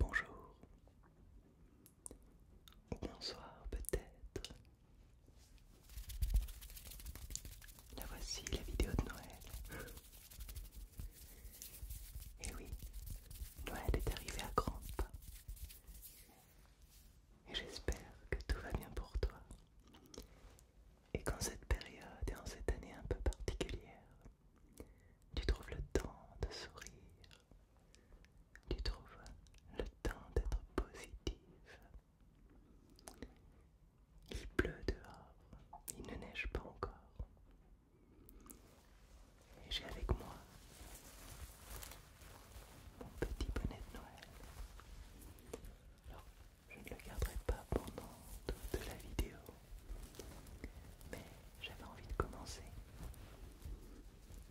Bonjour bonsoir peut-être. La voici la vidéo de Noël. Et oui, Noël est arrivé à grands pas. Et j'espère que tout va bien pour toi et qu'en cette période et en cette année un peu particulière, tu trouves le temps de sourire, tu trouves le temps d'être positif. Il pleut dehors, il ne neige pas encore. Et j'ai avec moi mon petit bonnet de Noël. Alors, je ne le garderai pas pendant toute la vidéo, mais j'avais envie de commencer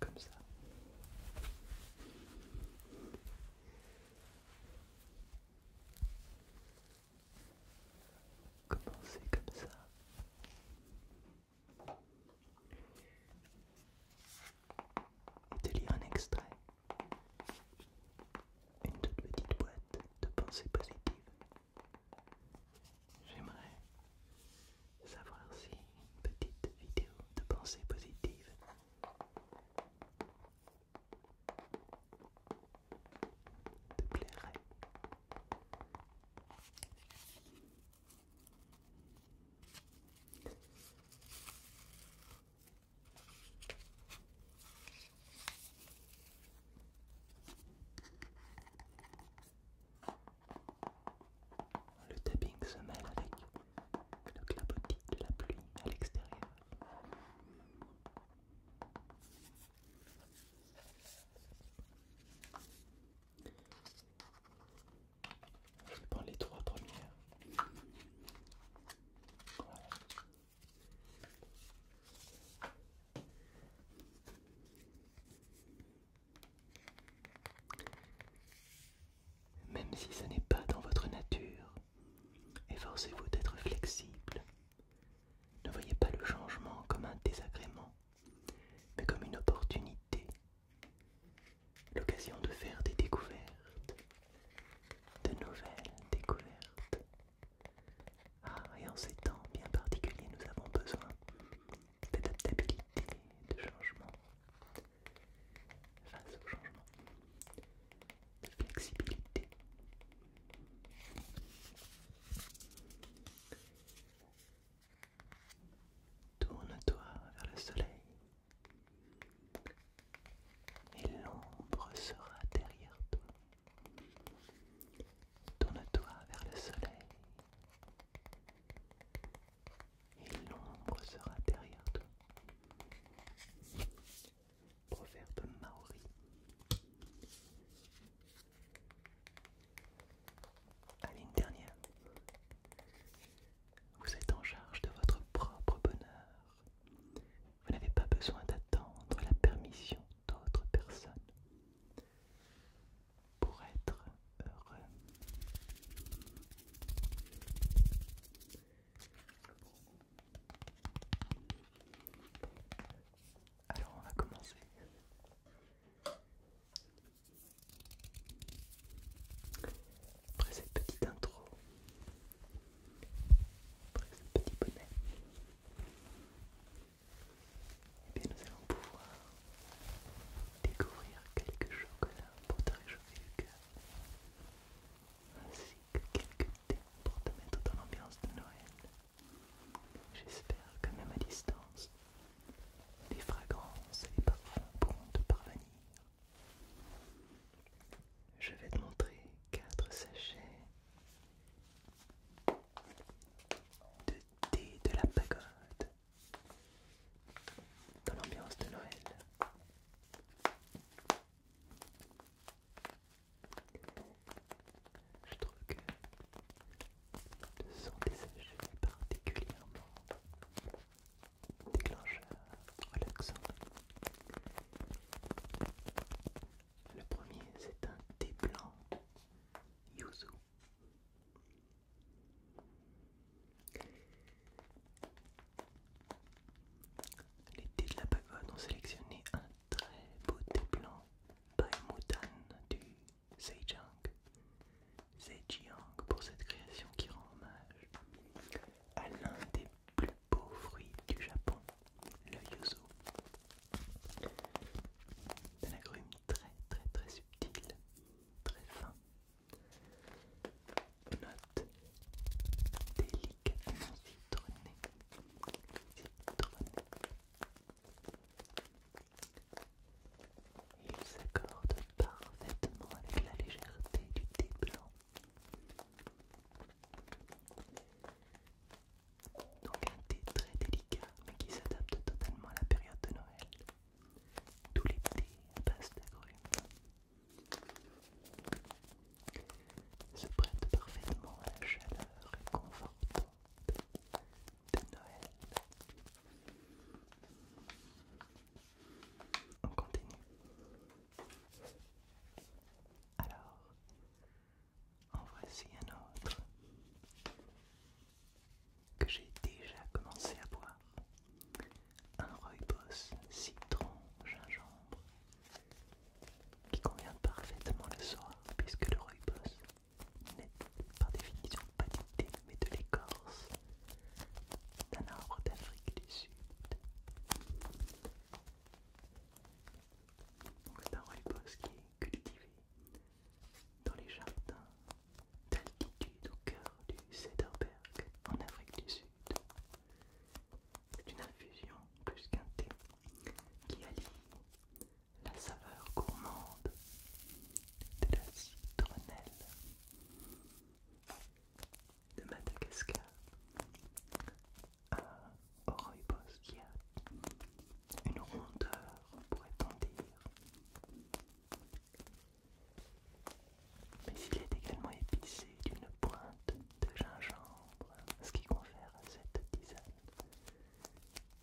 comme ça. Commencer comme ça de lire un extrait. Une toute petite boîte de pensées positives. J'aimerais savoir si une petite vidéo de pensées positives te plairait. Le tapping se mêle avec le clapotis de la pluie à l'extérieur. Je prends les trois premières. Même si ce n'est pas dans votre nature, efforcez-vous d'être flexible. Ne voyez pas le changement comme un désagrément, mais comme une opportunité l'occasion de faire des découvertes, de nouvelles découvertes. Ah, et en ces temps bien particuliers, nous avons besoin d'adaptabilité, de changement, face au changement, de flexibilité. Tourne-toi vers le soleil et l'ombre sera derrière toi. Tourne-toi vers le soleil et l'ombre sera derrière toi. Proverbe maori. Allez, une dernière. Vous êtes en charge de votre propre bonheur. Vous n'avez pas besoin d'attendre la permission d'autres personnes pour être heureux. Alors on va commencer. Après cette petite intro, après ce petit bonnet, eh nous allons pouvoir découvrir quelques chocolats pour te réchauffer le cœur, ainsi que quelques thèmes pour te mettre dans l'ambiance de Noël. J'espère que même à distance, les fragrances et les parfums pourront te parvenir je vais te montrer quatre sachets de thé de la pagode dans l'ambiance de Noël. Je trouve que ce sont des sachets particulièrement déclencheur relaxant. Le premier, c'est un thé blanc yuzu. Les de la pagode ont sélectionné un très beau thé blanc by du Zhejiang c'est Jiang pour cette création qui rend hommage à l'un des plus beaux fruits du Japon, le yuzu. Un agrume très très très subtil, très fin. Note délicatement il s'accorde parfaitement avec la légèreté du thé blanc. Donc un thé très délicat mais qui s'adapte totalement à la période de Noël. Tous les thés à base d'agrumes se prêtent parfaitement à la chaleur réconfortante de Noël. On continue. Alors, en voici un autre que j'ai déjà commencé à boire. Un Boss citron gingembre qui convient parfaitement le soir puisque le Boss n'est par définition pas du mais de l'écorce d'un arbre d'Afrique du Sud. C'est un rooibos qui est cultivé dans les jardins d'altitude au cœur du Cederberg en Afrique du Sud. C'est une infusion plus qu'un thé qui allie la saveur gourmande de la citronnelle de Madagascar à a une rondeur pourrait-on dire. Mais il est également épicé d'une pointe de gingembre, ce qui confère à cette tisane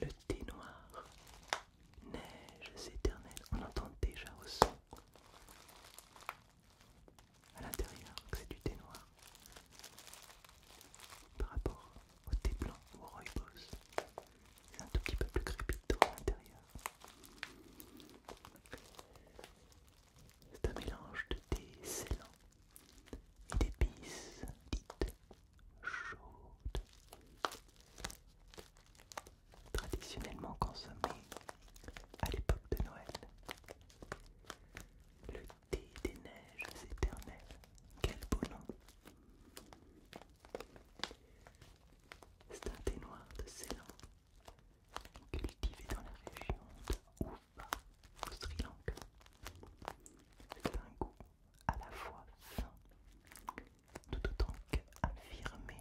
le thé noir, neige éternelle, on entend déjà au son à l'intérieur que c'est du thé noir par rapport au thé blanc ou au rooibos. C'est un tout petit peu plus crépitant à l'intérieur. C'est un mélange de thé scellant et d'épices dites chaudes, traditionnellement consommées à l'époque de Noël. Le thé des neiges éternelles, quel beau nom! C'est un thé noir de Ceylan cultivé dans la région de Ufa au Sri Lanka. C'est un goût à la fois sain, tout autant qu'affirmé.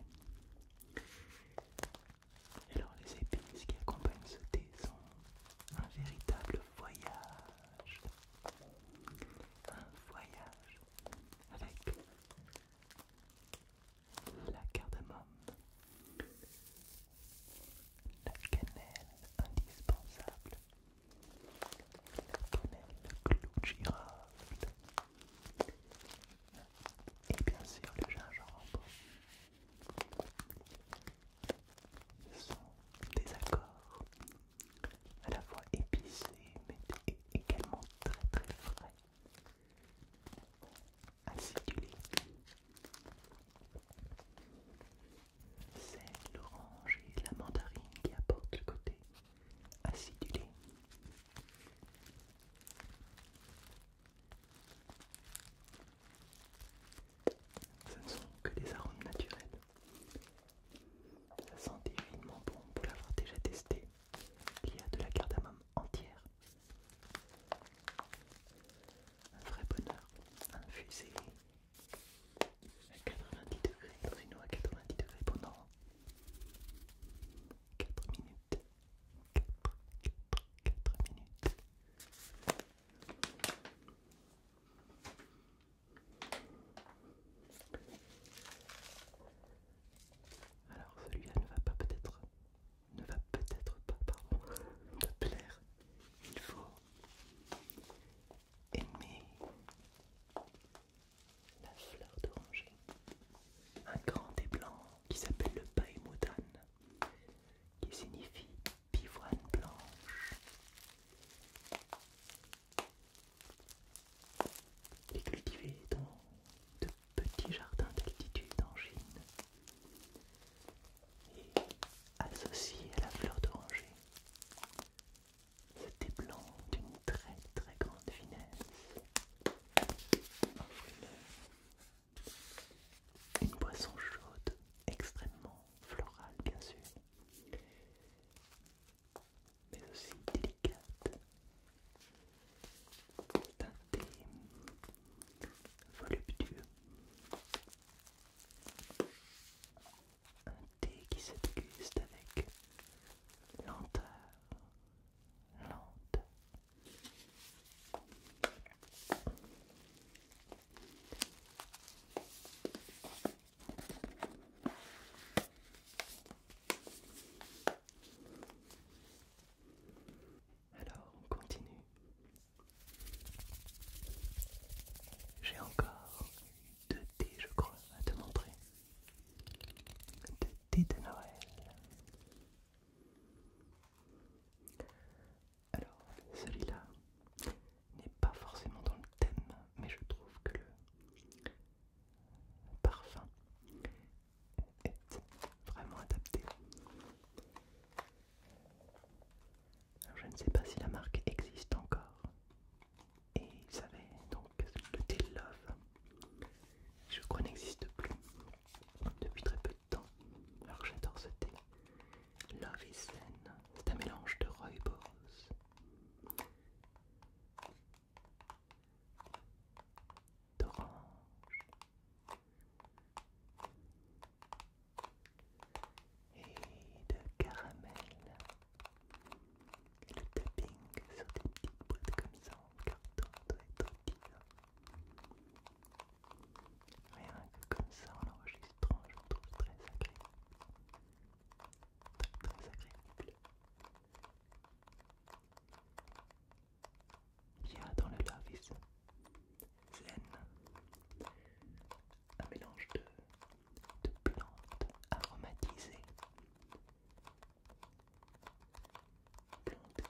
alors les épices qui accompagnent ce thé sont un véritable voyage. Un voyage avec la cardamome, la cannelle indispensable, la cannelle clou de girofle et bien sûr le gingembre sont des accords à la fois épicés mais également très très frais acidulé. C'est l'orange et la mandarine qui apportent le côté acidulé. Ce ne sont que des arômes naturels. Ça sent évidemment bon pour l'avoir déjà testé. Il y a de la cardamome entière, un vrai bonheur, un fusil à 90 degrés dans à 90 degrés pendant 4 minutes. 4, 4, 4 minutes. Alors celui-là ne va pas peut-être ne va peut-être pas pardon, te plaire. Il faut aimer la fleur d'oranger, un grand et blanc qui s'appelle le paemoutan, qui signifie pivoine blanche. Les cultiver dans de Petit jardin d'altitude en Chine et associé à la fleur d'oranger. C'était blanc d'une très très grande finesse. Une, une boisson chaude, extrêmement florale bien sûr, mais aussi délicate un thé voluptueux. Un thé qui se avec lenteur, alors, on continue. J'ai encore deux thés, je crois, à te montrer. Deux thés de Noël. Alors, celui-là n'est pas forcément dans le thème, mais je trouve que le parfum est vraiment adapté. je ne sais pas si la marque existe encore. Et vous donc le thé Love. Je crois n'existe plus depuis très peu de temps. Alors j'adore ce thé. Love is Zen. C'est un mélange de rooibos d'orange. Et de caramel. Et le tapping sur des petites boîtes comme ça en carton doit être Rien que comme ça en l'enregistrant, je le trouve très agréable. très agréable. Il y a dans le lavis Zen, un mélange de, de plantes aromatisées, plantes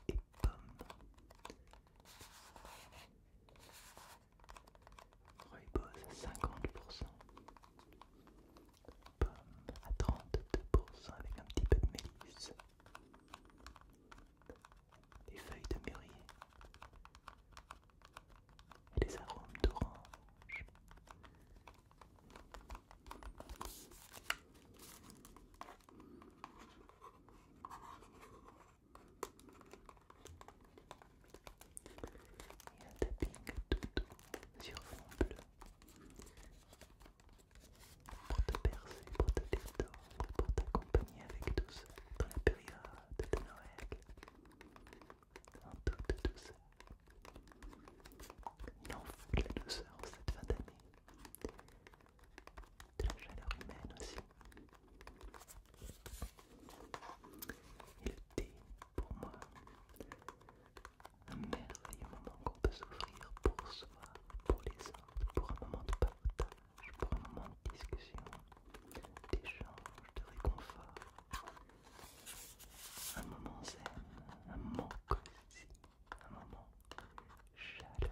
et pommes, à 50%, pommes à 32% avec un petit peu de mélisse. des feuilles de mûrier. des les arômes d'orange. Et un tapping tout doux sur fond bleu pour te percer, pour te détendre, pour t'accompagner avec douceur dans la période de Noël. En toute douceur. Il en de la douceur cette fin d'année. De la chaleur humaine aussi. Et le thé, pour moi, un merveilleux moment qu'on peut s'ouvrir pour soi, pour les autres, pour un moment de partage, pour un moment de discussion, d'échange, de réconfort. Un moment zen, un moment cosy, un moment chaleureux.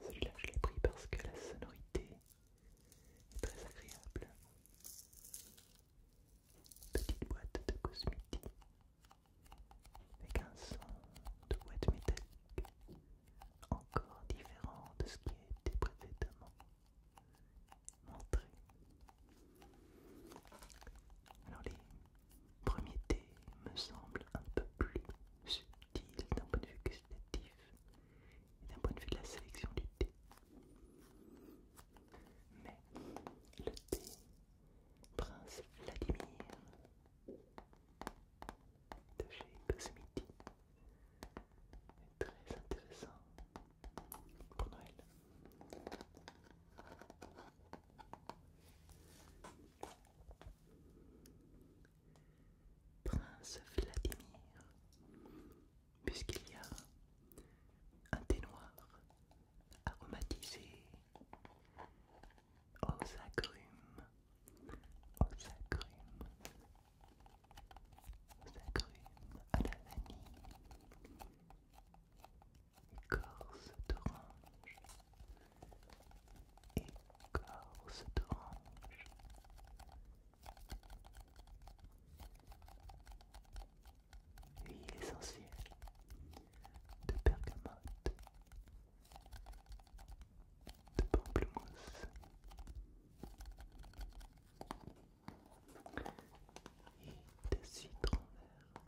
Celui-là, je l'ai pris parce que la sonorité est très agréable. Petite boîte de cosmétique avec un son de boîte métallique encore différent de ce qui a été précédemment montré. Alors les premier thé me semble un peu plus subtil d'un point de vue gustatif et d'un point de vue de la sélection du thé. Mais le thé Prince Vladimir de chez Cosmiti est très intéressant pour Noël. Prince Vladimir, puisqu'il y a un thé noir aromatisé aux agrumes, aux agrumes, aux agrumes à la vanille, écorce d'orange, écorce d'orange. Huile essentielle de bergamote, de pamplemousse. Et de citron vert.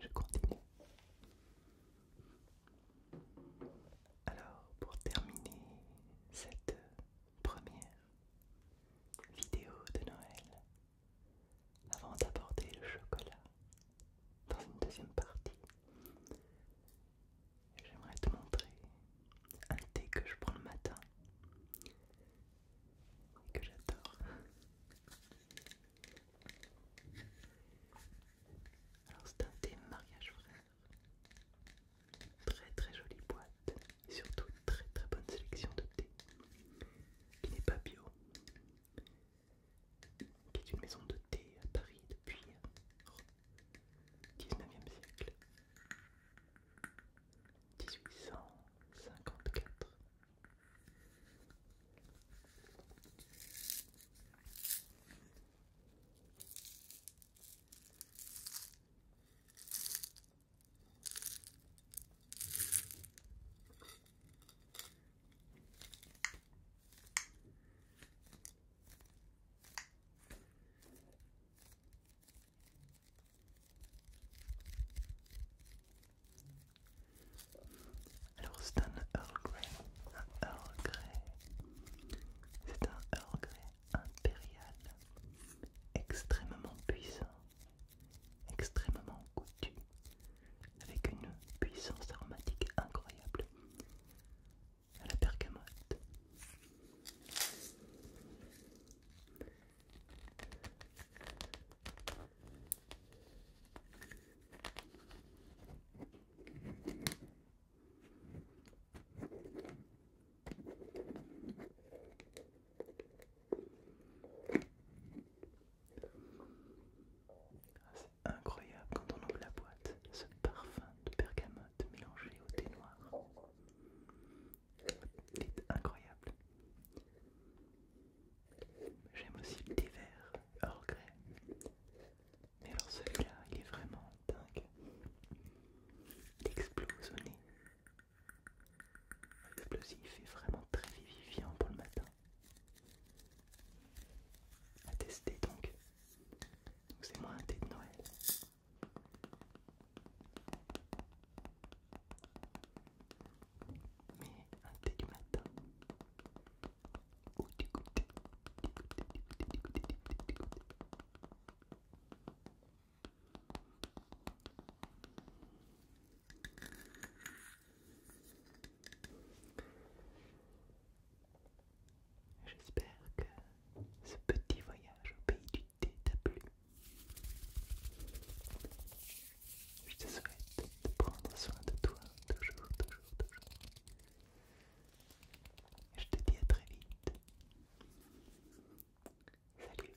Je continue. Alors, pour terminer cette première vidéo de Noël, avant d'aborder le chocolat dans une deuxième partie. J'aimerais te montrer un thé que je prends le matin et que j'adore. Alors c'est un thé mariage frère. Très très jolie boîte et surtout une très très bonne sélection de thé qui n'est pas bio, qui est une maison de thé à Paris depuis le 19e siècle, 1854. Alors c'est un Earl Grey, un Earl Grey, c'est un Earl Grey impérial, extrêmement puissant extrêmement goûtu, avec une puissance aromatique incroyable à la bergamote. Ah, c'est incroyable quand on ouvre la boîte, ce parfum de bergamote mélangé au thé noir. C'est incroyable. J'aime aussi le thé vert, hors grès. Mais alors celui-là, il est vraiment dingue. Il le est fait vraiment très vivifiant pour le matin. À tester donc. c'est moins un thé de Noël. Mais un thé du matin. J'espère que ce petit voyage au pays du thé t'a plu. Je te souhaite de prendre soin de toi toujours, toujours, toujours. Je te dis à très vite. Salut.